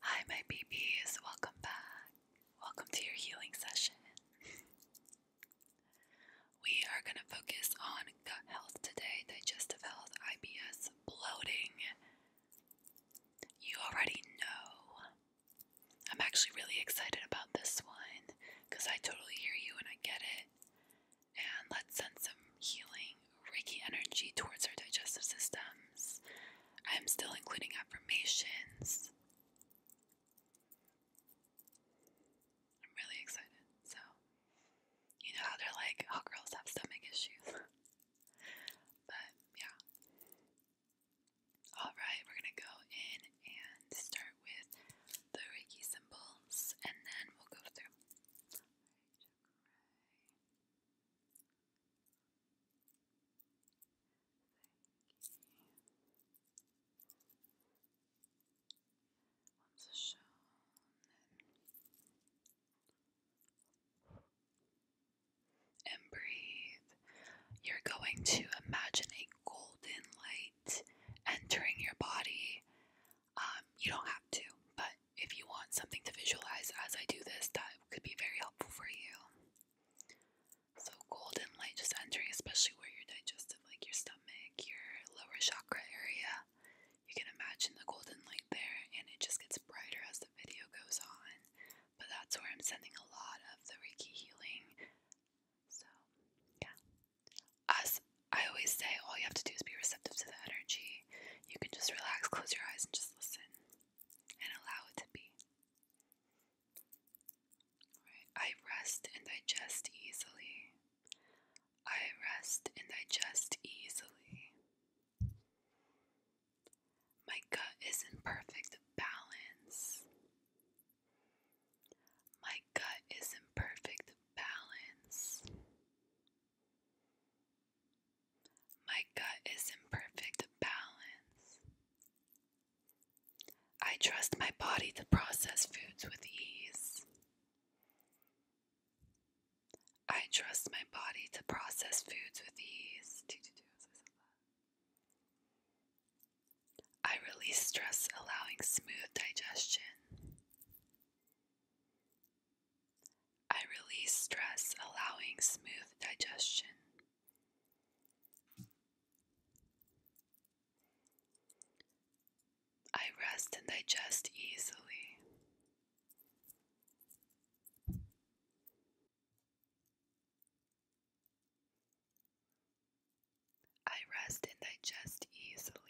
Hi, my babies. Welcome back. Welcome to your healing session. we are going to focus on gut health today, digestive health, IBS, bloating. You already know. I'm actually really excited about this one because I totally hear you and I get it. And let's send some healing Reiki energy towards our digestive systems. I'm still including affirmations. I'm really excited. So, you know how they're like, all oh, girls have stomach issues. but, yeah. Alright, we're gonna go in and start with the Reiki symbols and then we'll go through you. and breathe. You're going to imagine a golden light entering your body. Um, you don't have to, but if you want something to visualize as I do this, that could be very helpful for you. So, golden light just entering, especially where your digestive, like your stomach, your lower chakra area. You can imagine the golden light there, and it just gets brighter as the video goes on. But that's where I'm sending a lot of the Reiki healing. So, yeah. As I always say, all you have to do is be receptive to the energy. You can just relax, close your eyes, and just listen and allow it to be. I rest and digest easily. I rest and digest easily. My gut is not perfect balance. My gut is not perfect balance. My gut is in perfect balance. I trust my body to process foods with ease. I trust my body to process foods with ease. I release stress, allowing smooth digestion. I release stress, allowing smooth digestion. I rest and digest easily. I rest and digest easily.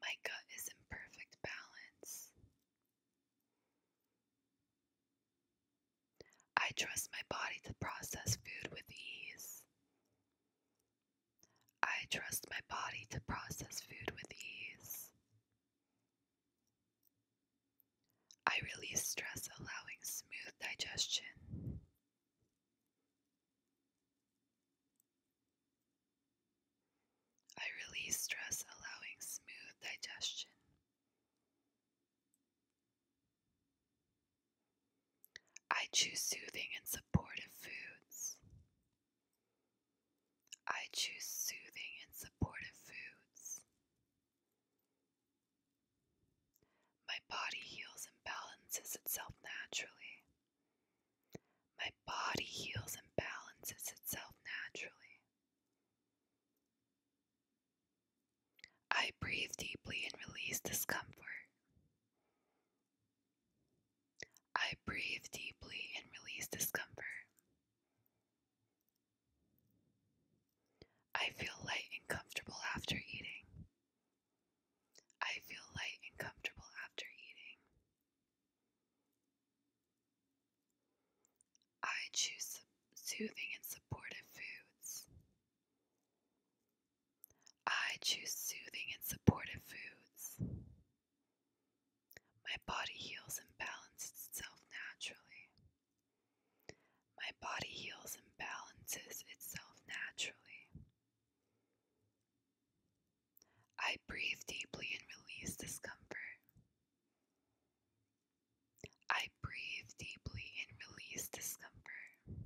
My gut is in perfect balance. I trust my body to process food with ease. I trust my body to process food with ease. I release stress, allowing smooth digestion. I release stress, allowing smooth digestion. I choose soothing and supportive foods. I choose soothing and supportive foods. My body heals and balances itself naturally. My body heals and balances itself naturally. I breathe deeply and release discomfort. I breathe deeply and release discomfort. I feel light and comfortable after eating. I feel light and comfortable after eating. I choose soothing and supportive foods. I choose soothing and supportive foods. My body heals and balances itself naturally. My body heals and balances itself naturally. I breathe deeply and release discomfort. I breathe deeply and release discomfort.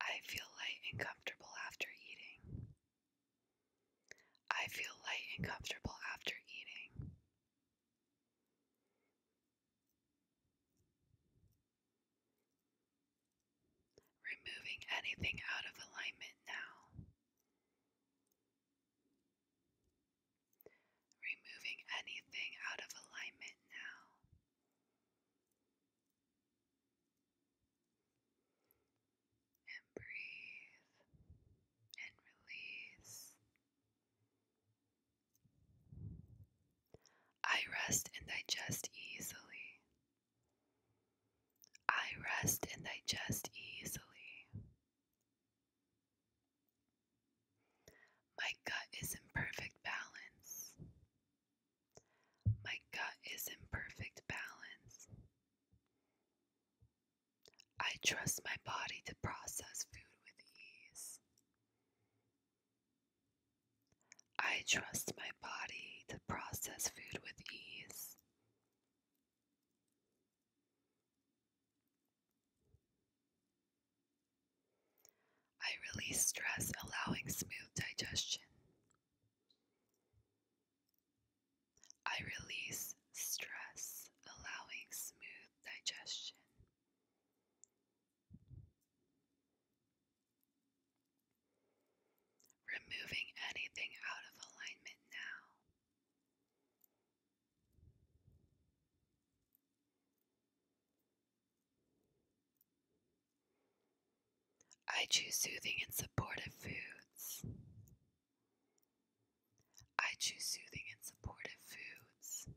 I feel light and comfortable after eating. I feel light and comfortable after eating. Removing anything out of alignment now. Removing anything out of alignment now. And breathe and release. I rest and digest easily. I rest and digest easily. My gut is in perfect balance. My gut is in perfect balance. I trust my body to process food with ease. I trust my body to process food with ease. I release stress, allowing smooth digestion. I release stress, allowing smooth digestion. Removing anything out of alignment now. I choose soothing and supportive foods. I choose soothing and supportive foods.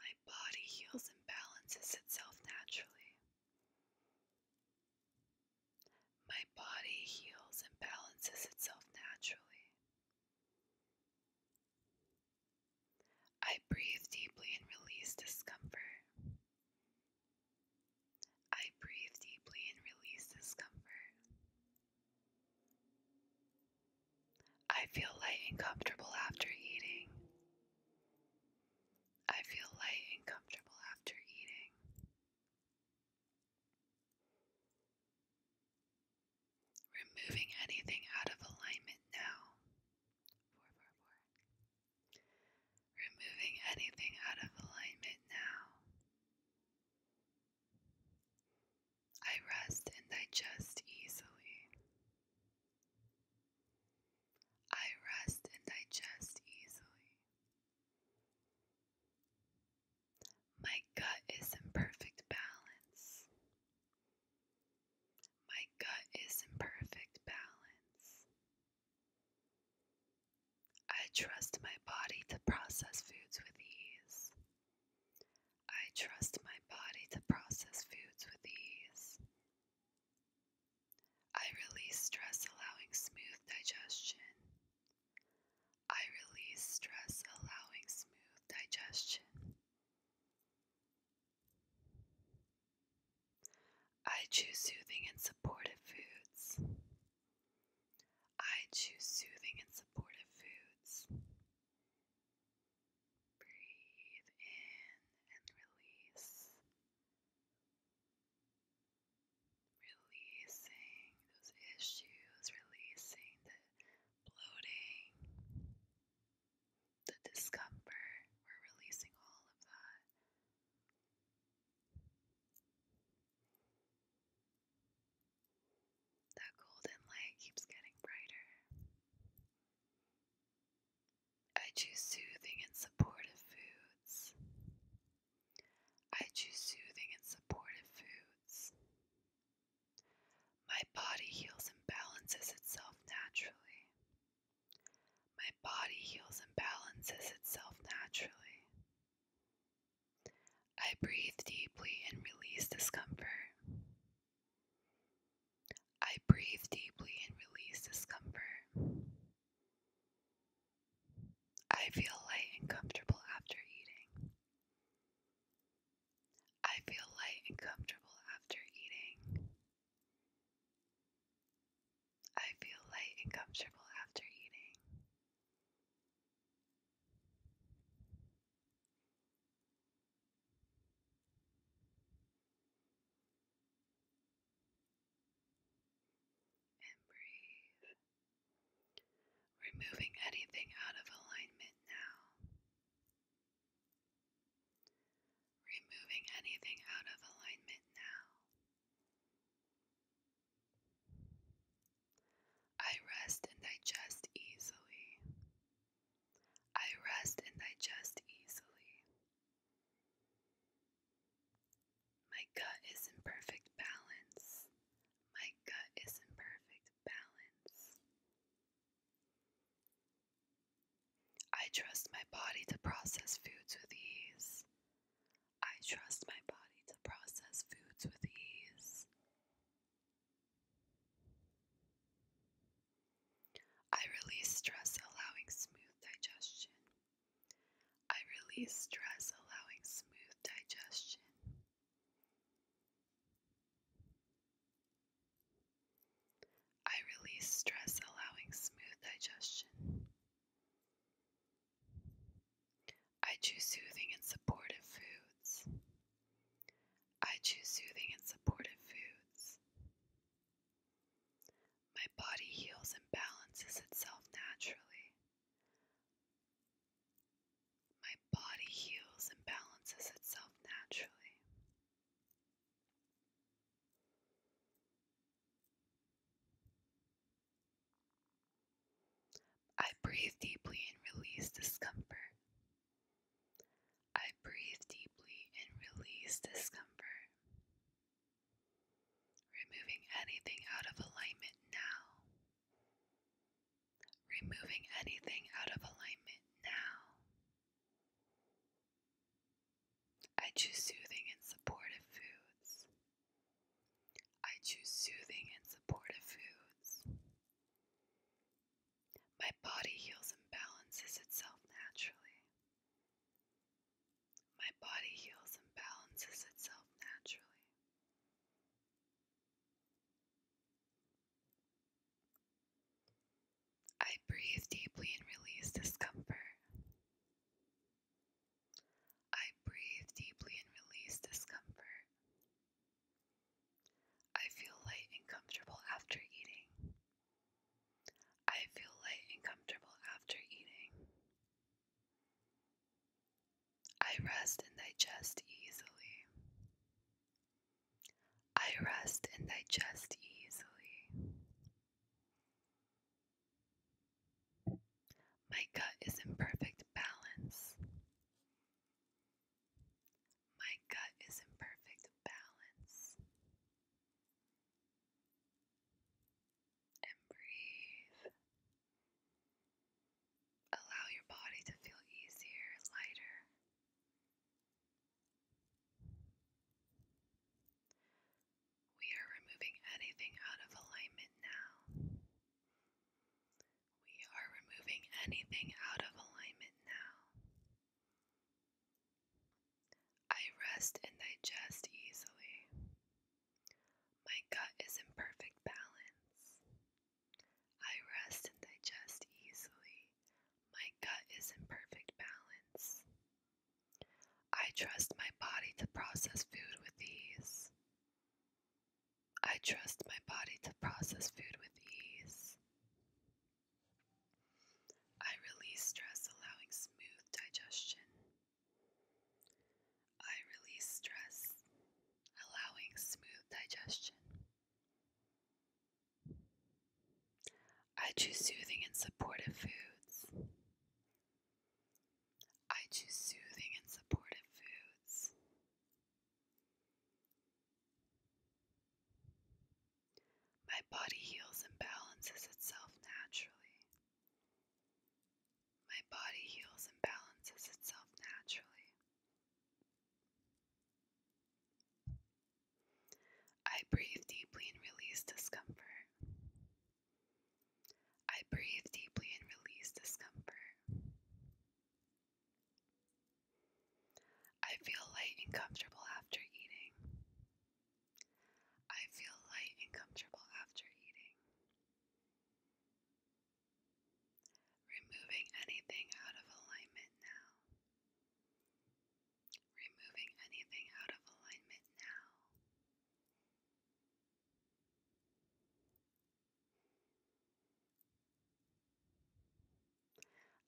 My body heals and balances itself naturally. My body heals and balances itself naturally. I breathe deeply and release discomfort. I breathe deeply and release discomfort. I feel light and comfortable after eating. I feel light and comfortable after eating. Removing anything out of alignment now. Removing anything out of alignment now. I rest and digest easily. I rest and digest easily. My gut is in perfect balance. My gut is in perfect balance. I trust my body to process foods with ease. I trust my body to process foods with ease. I release stress, allowing smooth digestion. I release stress, allowing smooth digestion. I choose soothing and supportive foods. I choose soothing and supportive foods. Breathe in and release. Releasing those issues, releasing the bloating, the discomfort. We're releasing all of that. That golden light keeps getting brighter. I choose soothing and supportive foods. I choose soothing and supportive foods. My body heals and balances itself naturally. My body heals and balances itself naturally. I breathe deeply and release discomfort. I breathe deeply and release discomfort. I feel light and comfortable after eating. I feel light and comfortable after eating. I feel light and comfortable after eating. And breathe. Removing anything out of alignment now. Removing anything out of alignment now. I rest and digest easily. I rest and digest easily. My gut is in perfect balance. My gut is in perfect balance. I trust my body to process foods with ease. I trust my body to process foods with ease. I release stress, allowing smooth digestion. I release stress, allowing smooth digestion. I release stress, allowing smooth digestion. I choose soothing and supportive foods. I choose soothing and supportive foods. My body heals and balances itself naturally. My body heals and balances itself naturally. I breathe deeply and release discomfort. I breathe deeply and release discomfort, removing anything out of alignment now. Removing anything out of alignment now. I choose soothing and supportive foods. I choose soothing and supportive foods. My body heals and balances itself naturally. My body heals and balances itself naturally. I breathe deeply and release discomfort. I breathe deeply and release discomfort. I feel light and comfortable after eating. I feel light and comfortable after eating. I rest and digest easily. I rest and digest easily. My gut is in perfect balance. My gut is in perfect balance and breathe. Allow your body to feel easier lighter. We are removing anything out of alignment now. We are removing anything out of alignment now. I rest and digest easily. My gut is in perfect balance. I rest and digest easily. My gut is in perfect balance. I trust my body to process food with ease. I trust my body to process food with ease. I release stress, allowing smooth digestion. I release stress, allowing smooth digestion. I choose soothing and supportive foods. I choose soothing and supportive foods. My body heals and balances itself naturally. My body heals and balances itself naturally. I breathe deeply and release discomfort. I breathe deeply and release discomfort. I feel light and comfortable after eating. I feel light and comfortable after eating. Removing anything out of alignment now. Removing anything out of alignment now.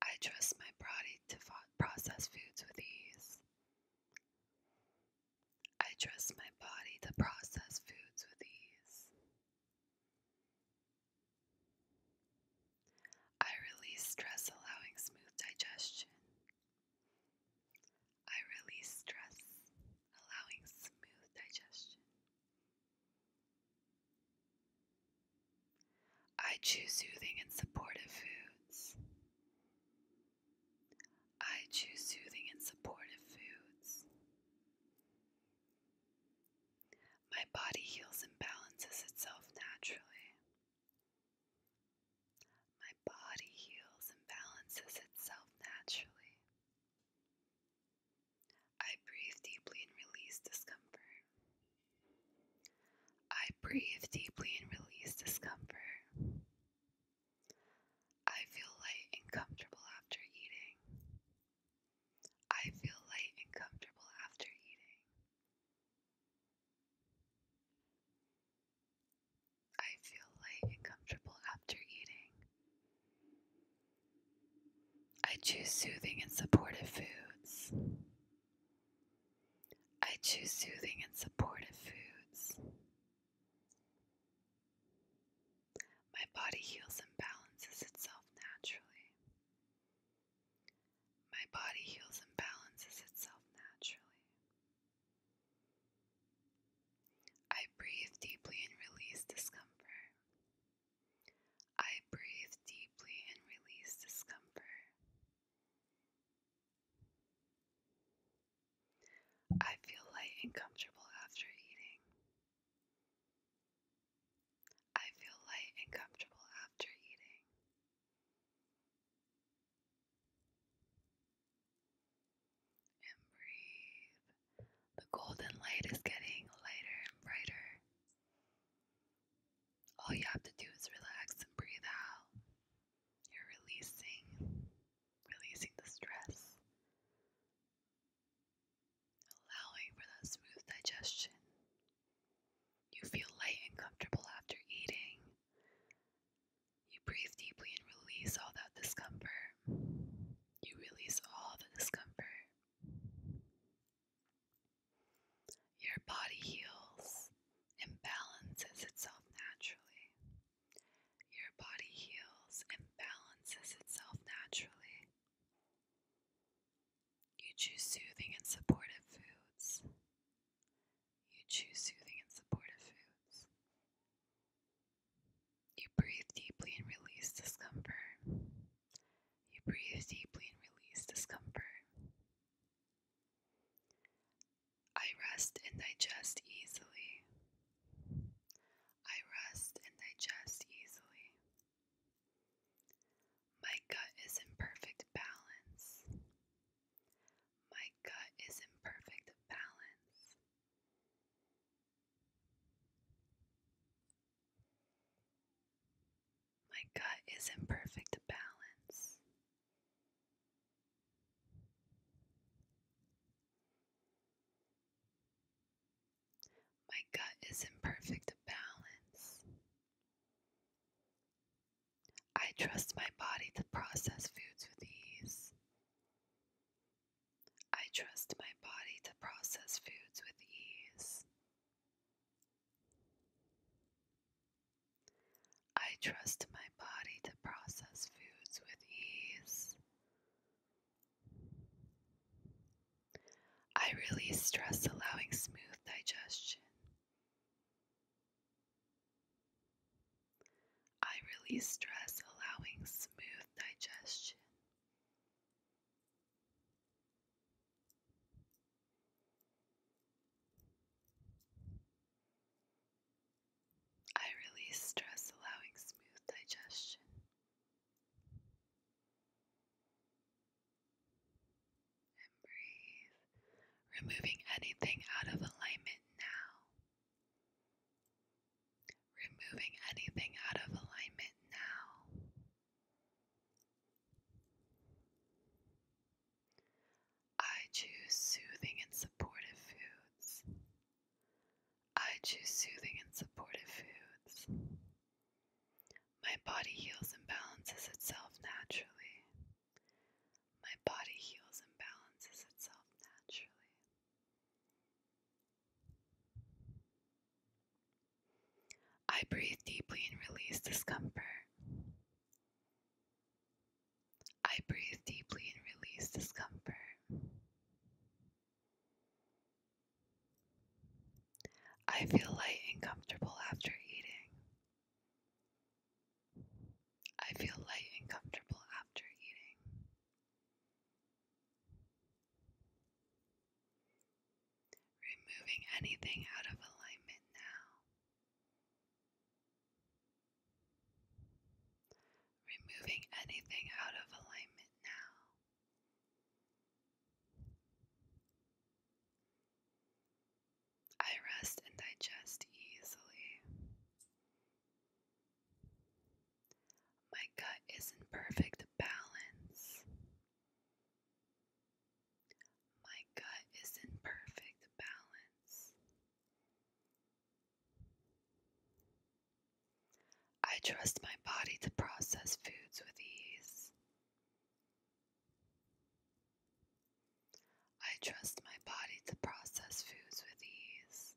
I trust my body to process foods with ease. I trust my body to process foods with ease. I release stress, allowing smooth digestion. I release stress, allowing smooth digestion. I choose soothing and supportive foods. I choose soothing and supportive foods. My body heals and balances itself naturally. My body heals and balances itself naturally. I breathe deeply and release discomfort. I breathe deeply and release discomfort. I feel light and comfortable after eating. I feel light and comfortable after eating. I feel light and comfortable after eating. I choose soothing and supportive foods. I choose soothing and supportive foods. My body heals and balances itself naturally. My body heals and balances itself naturally. I breathe deeply and release discomfort. I breathe deeply and release discomfort. I feel light and comfortable after eating. I feel light and comfortable after eating. And breathe. The golden light is getting lighter and brighter. All you have to do is relax and breathe out. You're releasing, releasing the stress, allowing for that smooth digestion. You feel light and comfortable after eating. You breathe deeply and release all that discomfort. You release all the discomfort. Your body heals and itself naturally. Your body heals and balances itself naturally. You choose soothing and supportive foods. You choose soothing and supportive foods. You breathe deeply and release discomfort. You breathe deeply and release discomfort. I rest and digest easily. I rest and digest easily. My gut is in perfect balance. My gut is in perfect balance. My gut is in perfect balance. My gut is in perfect balance. I trust my body to process foods with ease. I trust my body to process foods with ease. I trust my body to process foods with ease. I release stress, allowing smooth digestion. I release stress, allowing smooth digestion. I release stress, allowing smooth digestion. And breathe, removing anything out of alignment now. Removing anything out of alignment now. I choose soothing and supportive foods. I choose soothing and supportive foods. My body heals and balances itself naturally. My body heals and balances itself naturally. I breathe deeply and release discomfort. I breathe deeply and release discomfort. I feel light and comfortable after eating. I feel light and comfortable after eating. Removing anything out of alignment now. Removing anything out of alignment now. I rest and digest easily. My gut is in perfect balance. My gut is in perfect balance. I trust my body to process foods with ease. I trust my body to process foods with ease.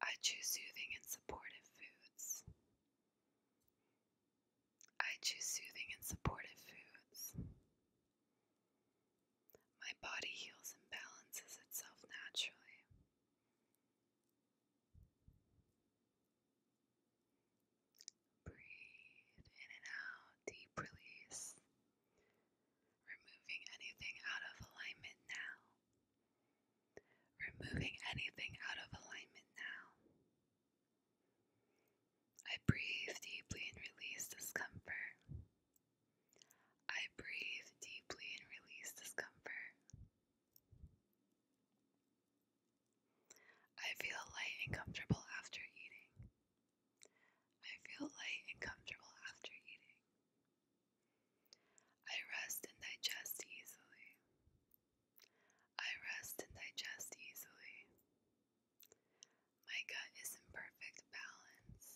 I choose soothing and supportive foods. I choose soothing and supportive foods. My body heals and balances itself naturally. Breathe in and out, deep release, removing anything out of alignment now. Removing anything out of alignment now. I breathe deeply and release discomfort. I breathe deeply and release discomfort. I feel light and comfortable after eating. I feel light and comfortable after eating. I rest and digest easily. I rest and digest easily. My gut is in perfect balance.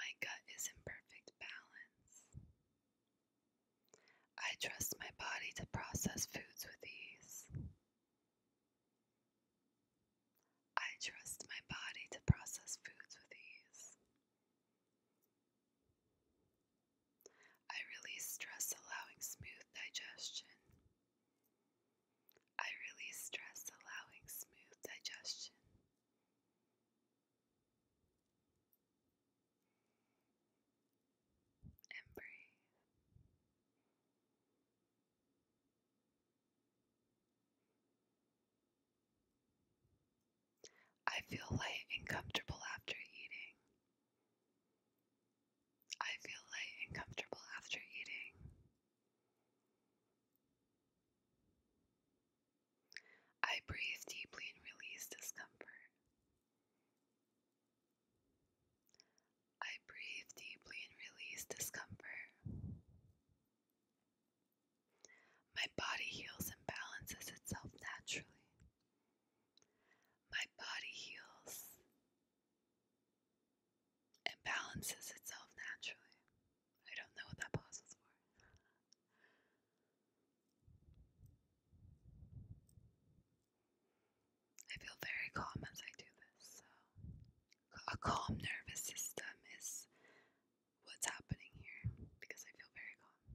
My gut is in perfect balance. I trust my body to process foods with ease. I trust my body to process foods with ease. I release stress, allowing smooth digestion. I really stress allowing smooth digestion. And breathe. I feel light and comfortable after eating. I feel light and comfortable after eating. I breathe deeply and release discomfort. I breathe deeply and release discomfort. My body heals and balances itself naturally. My body heals it balances itself naturally. I don't know what that pause for. I feel very calm as I do this, so a calm nervous system is what's happening here because I feel very calm.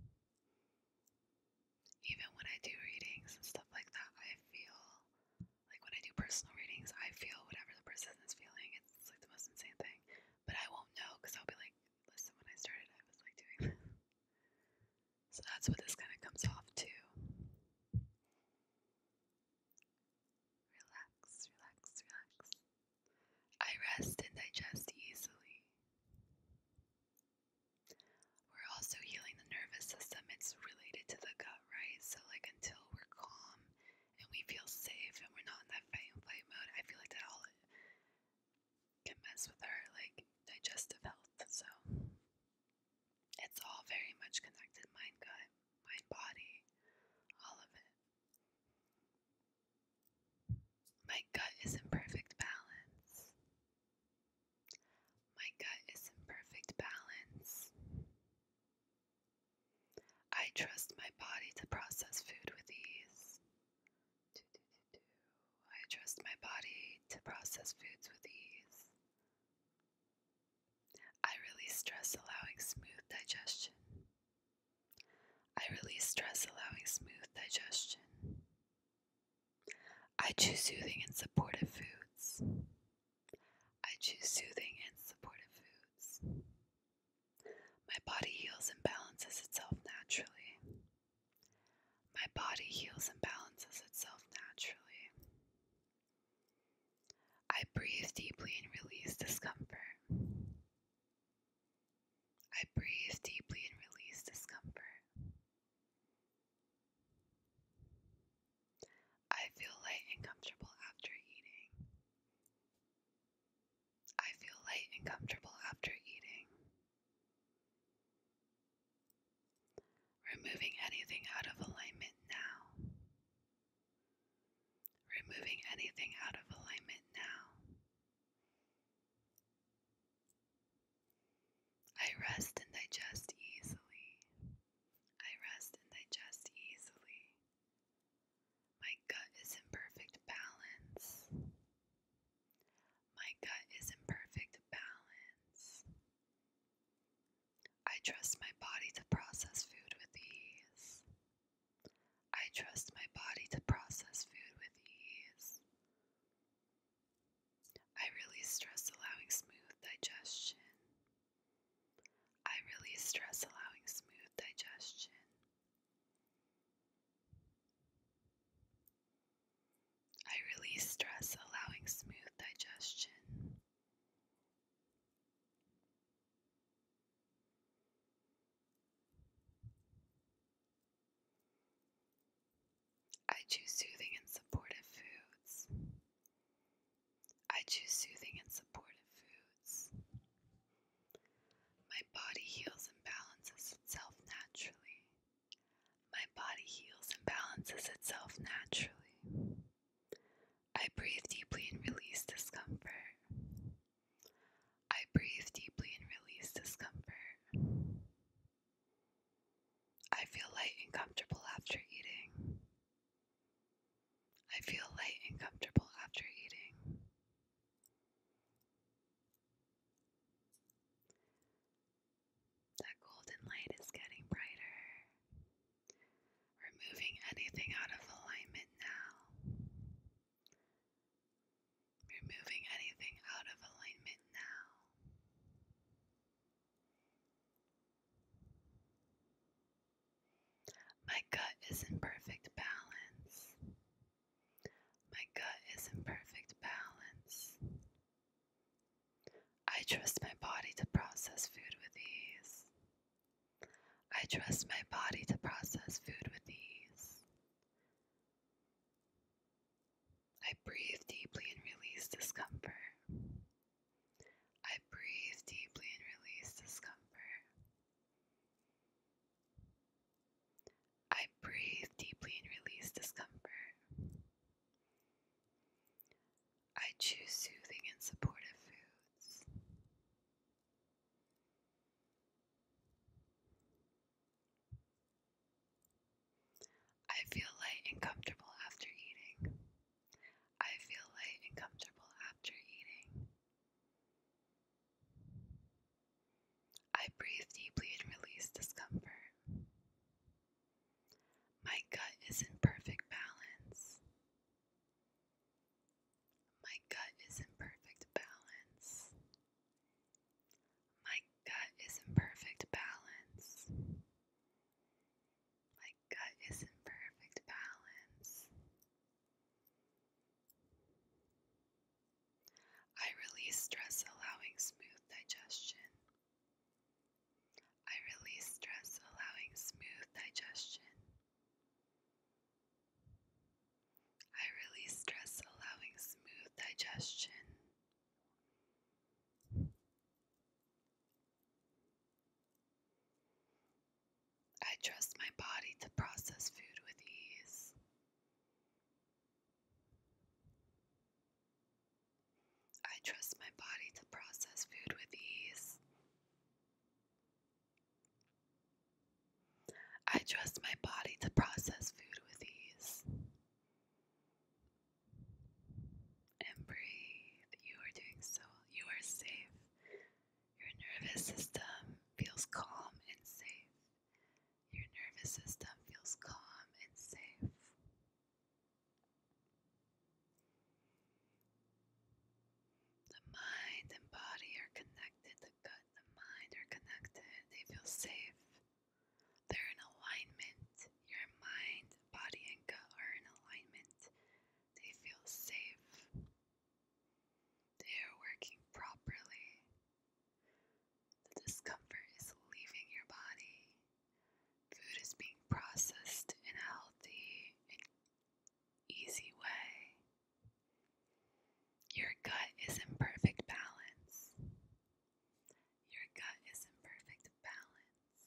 Even when I do readings and stuff like that, I feel like when I do personal readings, I feel whatever the person is feeling. It's, like the most insane thing. But I won't know because I'll be like, listen, when I started, I was like doing So that's what this kind of comes off too. Relax, relax, relax. I rest and digest easily. We're also healing the nervous system. It's related to the gut, right? So, like, until we're calm and we feel safe and we're not in that fight and flight mode, I feel like that all can mess with our, like, digestive health. So, it's all very much connected mind, gut, mind, body, all of it. My gut is in perfect balance. My gut is in perfect balance. I trust my body to process food with ease. I trust my body to process foods with ease. I release stress allowing smooth digestion. I really stress allowing smooth digestion. I choose soothing and supportive foods. I choose soothing and supportive foods. My body heals and balances itself naturally. My body heals and balances itself naturally. I breathe deeply and release discomfort. I breathe deeply and release discomfort. I feel light and comfortable after eating. I feel light and comfortable after eating. Removing anything out of alignment now. Removing anything out of alignment now. I rest and digest easily. I rest and digest easily. My gut is in perfect balance. My gut is in perfect balance. I trust my body to process food with ease. I trust my body to process food with ease. I really stress allowing smooth digestion. I really stress allowing smooth digestion. I really stress allowing smooth digestion. I choose soothing and supportive foods. I choose soothing and supportive foods. My body heals and balances itself naturally. My body heals and balances itself naturally. I breathe deeply and release discomfort. I breathe deeply and release discomfort. I feel light and comfortable after eating. I feel light and comfortable after eating. That golden light is getting brighter, removing anything out of alignment now. Removing anything out of alignment now. My gut is in perfect balance. My gut is in perfect balance. I trust my body to process food with ease. I trust my body to process food with ease. I breathe deeply and release discomfort. I breathe deeply and release discomfort. I breathe deeply and release discomfort. I choose soothing and supportive foods. I feel light and comfortable after eating. I feel light and comfortable after eating. I breathe deeply and release discomfort. My gut is in perfect balance. My gut is in perfect balance. My gut is in perfect balance. My gut is in perfect balance. I release stress, allowing smooth digestion. I release stress, allowing smooth digestion. I release stress, allowing smooth digestion. I trust my body to process food with ease. I trust my body to process food with ease. I trust my body to process food with ease and breathe. You are doing so, you are safe. Your nervous system feels calm and safe. Your nervous system feels calm and safe. The mind and body are connected. The gut the mind are connected. They feel safe. They're in alignment. Your mind, body, and gut are in alignment. They feel safe. They are working properly. The discomfort is leaving your body. Food is being processed in a healthy easy way. Your gut is in perfect balance. Your gut is in perfect balance.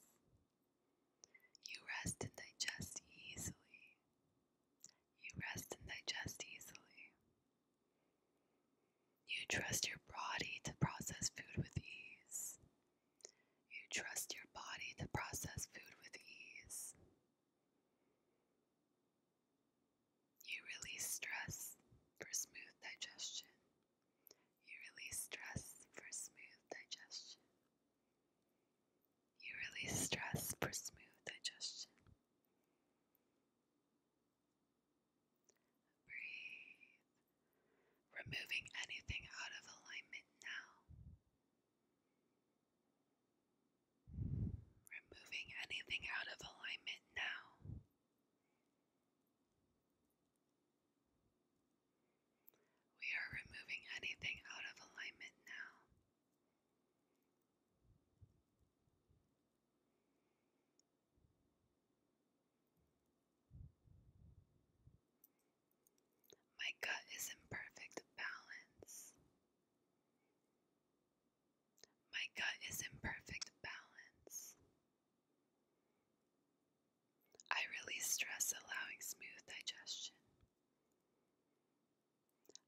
You rest and digest easily. You rest and digest easily. You trust your body to process food with ease. You trust your body to process food with ease. You release stress for smooth digestion. You release stress for smooth digestion. You release stress for smooth digestion. Breathe. Removing anything out of alignment now. Removing anything out of alignment now. We are removing anything out of alignment now. My gut is in perfect balance. My gut is in perfect balance. I release stress, allowing smooth digestion.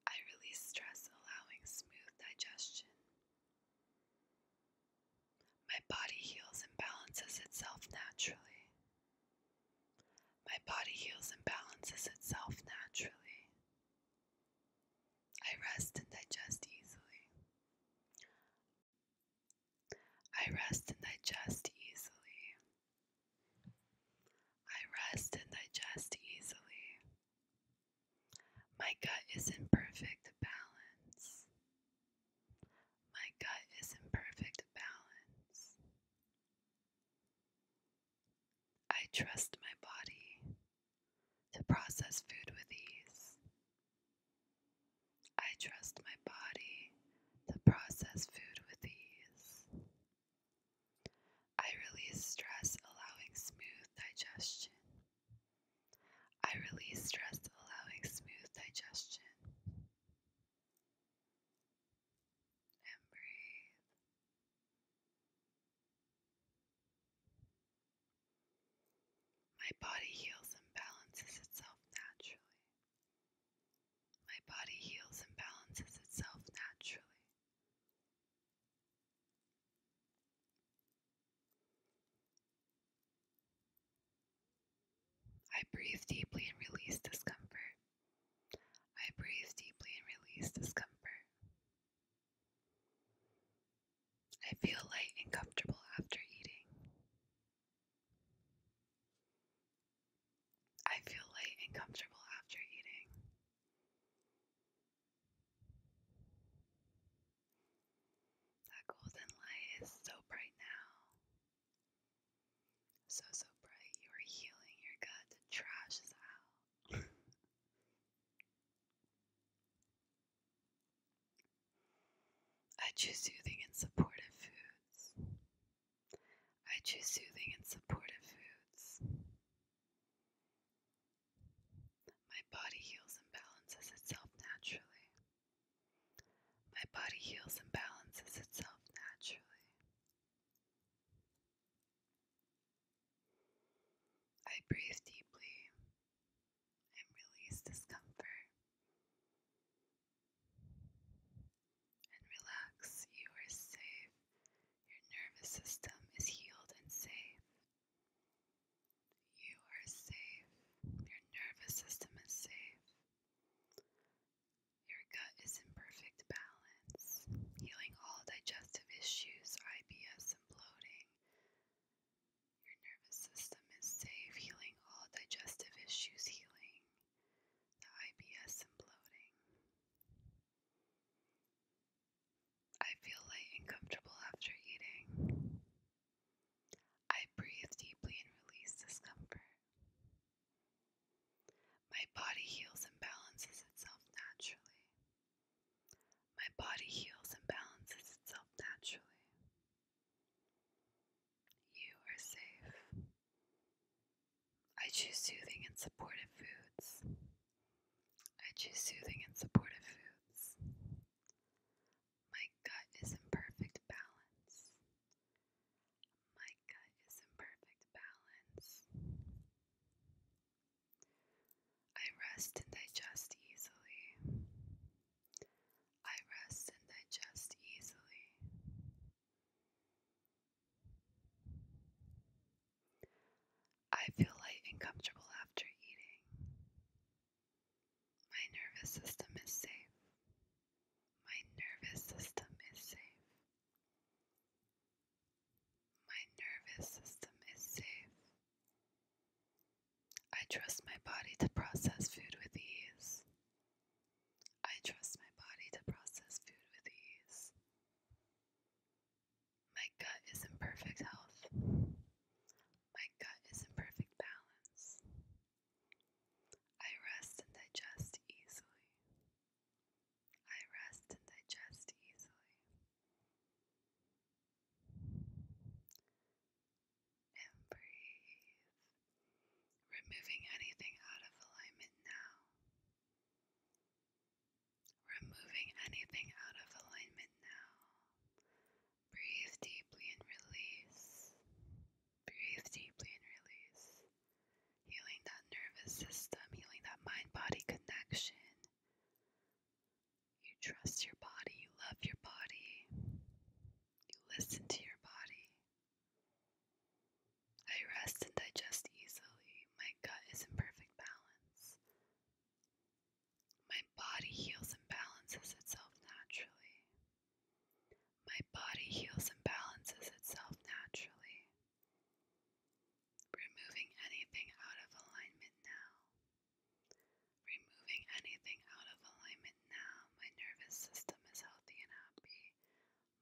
I release stress, allowing smooth digestion. My body heals and balances itself naturally. My body heals and balances itself naturally. I rest and digest easily. I rest and digest easily. I rest and digest easily. My gut is in perfect balance. My gut is in perfect balance. I trust my body to process food with ease. I trust my body to process food with ease. I release stress, allowing smooth digestion. I release stress, allowing smooth digestion. And breathe. My body heals and balances itself naturally. My body heals and balances itself naturally. I breathe deeply and release discomfort. I breathe deeply and release discomfort. I feel light and comfortable after eating. I feel light and comfortable after eating. That golden light is so bright now. So, so bright. You are healing your gut. The trash out. I choose soothing and supportive foods. I choose soothing and supportive foods. My body heals and balances itself naturally. My body heals and balances itself naturally. I breathe deeply and release discomfort and relax. You are safe. Your nervous system is healed and safe. You are safe. Your nervous system is safe. Your gut is in perfect balance, healing all digestive issues, IBS, and bloating. Your nervous system is safe, healing all digestive issues, healing the IBS and bloating. I feel light and comfortable after eating. I breathe deeply and release discomfort. My body heals and balances itself naturally. My body heals and balances itself naturally. You are safe. I choose soothing and supportive foods. I choose soothing and supportive foods. My gut is in perfect balance. My gut is in perfect balance. I rest and digest easily. I rest and digest easily. I feel light and comfortable after eating. My nervous system is safe. My nervous system is safe. My nervous system is safe. I trust my body to process food with ease. I trust my body to process food with ease. My gut is in perfect health. My gut is in perfect balance. I rest and digest easily. I rest and digest easily. And breathe. Removing anything out of alignment now. Removing anything out of alignment now. Breathe deeply and release. Breathe deeply and release. Healing that nervous system, healing that mind body connection. You trust your body, you love your body, you listen to your body. I rest and digest easily. My gut is in perfect balance. My body heals and balances itself naturally. My body heals and balances itself naturally. Removing anything out of alignment now. Removing anything out of alignment now. My nervous system is healthy and happy.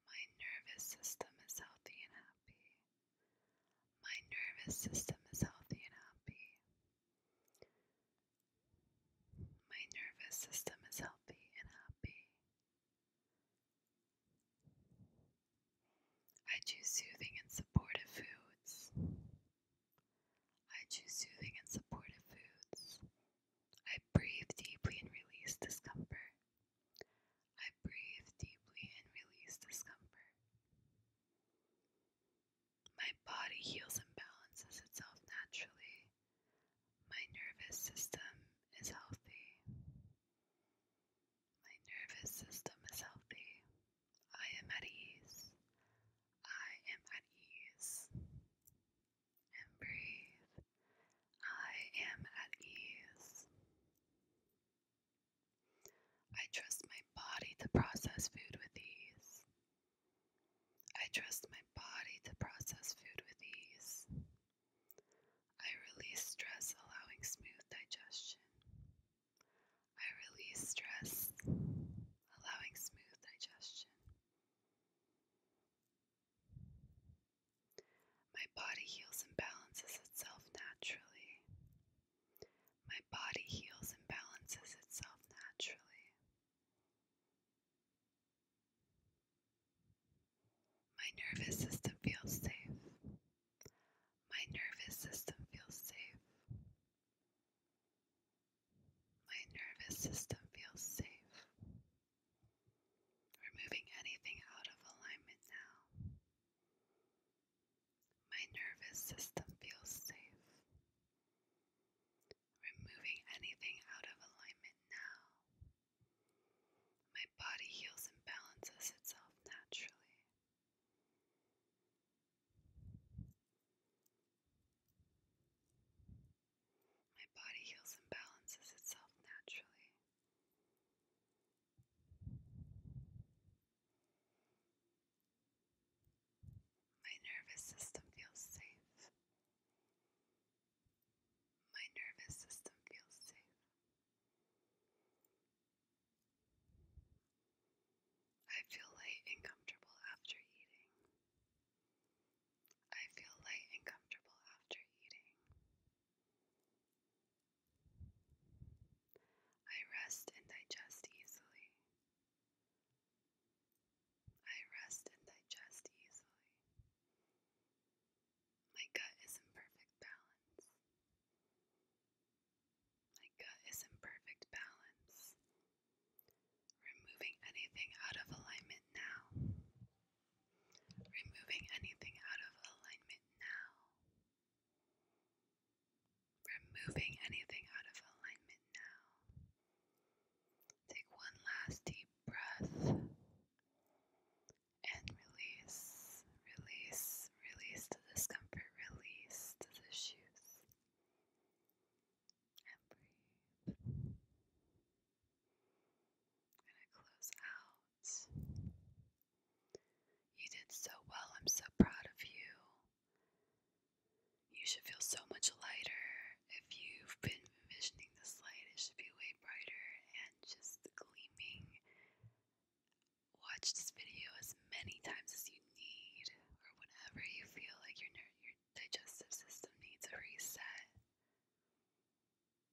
My nervous system is healthy and happy. My nervous system is healthy and happy. My nervous system is healthy and happy. I choose soothing and supportive foods. I choose soothing and supportive foods. I breathe deeply and release discomfort. I breathe deeply and release discomfort. My body heals and balances itself naturally. My nervous system is healthy. My nervous system is healthy. I am at ease. I am at ease. And breathe. I am at ease. I trust my body to process food with ease. I trust my body to process food with ease. I release stress, allowing smooth digestion. I release stress, allowing smooth digestion. My body heals and balances itself naturally. My body heals and balances itself naturally. My nervous system feels safe. My nervous system feels safe. My nervous system feels safe. Removing anything out of alignment now. My nervous system feels safe. Removing anything out of alignment now. My body heals and balances itself naturally. My body heals and balances itself naturally. My nervous system feels safe. My nervous system feels safe. I feel light and comfortable after eating. I feel light and comfortable after eating. I rest and digest easily. I rest and digest easily. My gut is in perfect balance. My gut is in perfect balance. Removing anything out of alignment now. Removing anything out of alignment now. Removing anything out of alignment now. Take one last deep breath and release, release, release the discomfort, release the issues, and breathe. i close out you did so well. I'm so proud of you. You should feel so much lighter. If you've been envisioning this light, it should be way brighter and just gleaming. Watch this video as many times as you need, or whenever you feel like your, your digestive system needs a reset.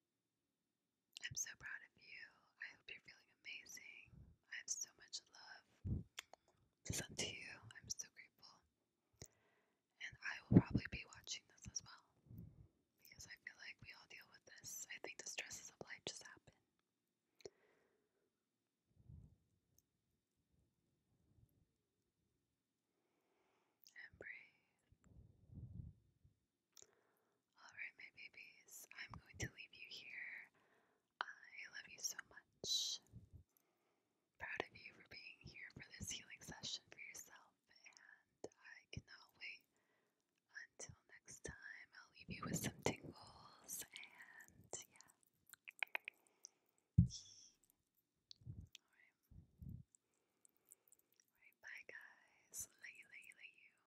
I'm so proud of you. I hope you're feeling amazing. I have so much love to to you. I'm so grateful. And I will probably be watching this as well because I feel like we all deal with this. I think the stresses of life just happen. And breathe. Alright, my babies, I'm going to leave you here. I love you so much. Proud of you for being here for this healing session for yourself, and I cannot wait until next time. I'll leave you with some tingles, and yeah. Alright. bye guys. Lay you, lay you, lay you.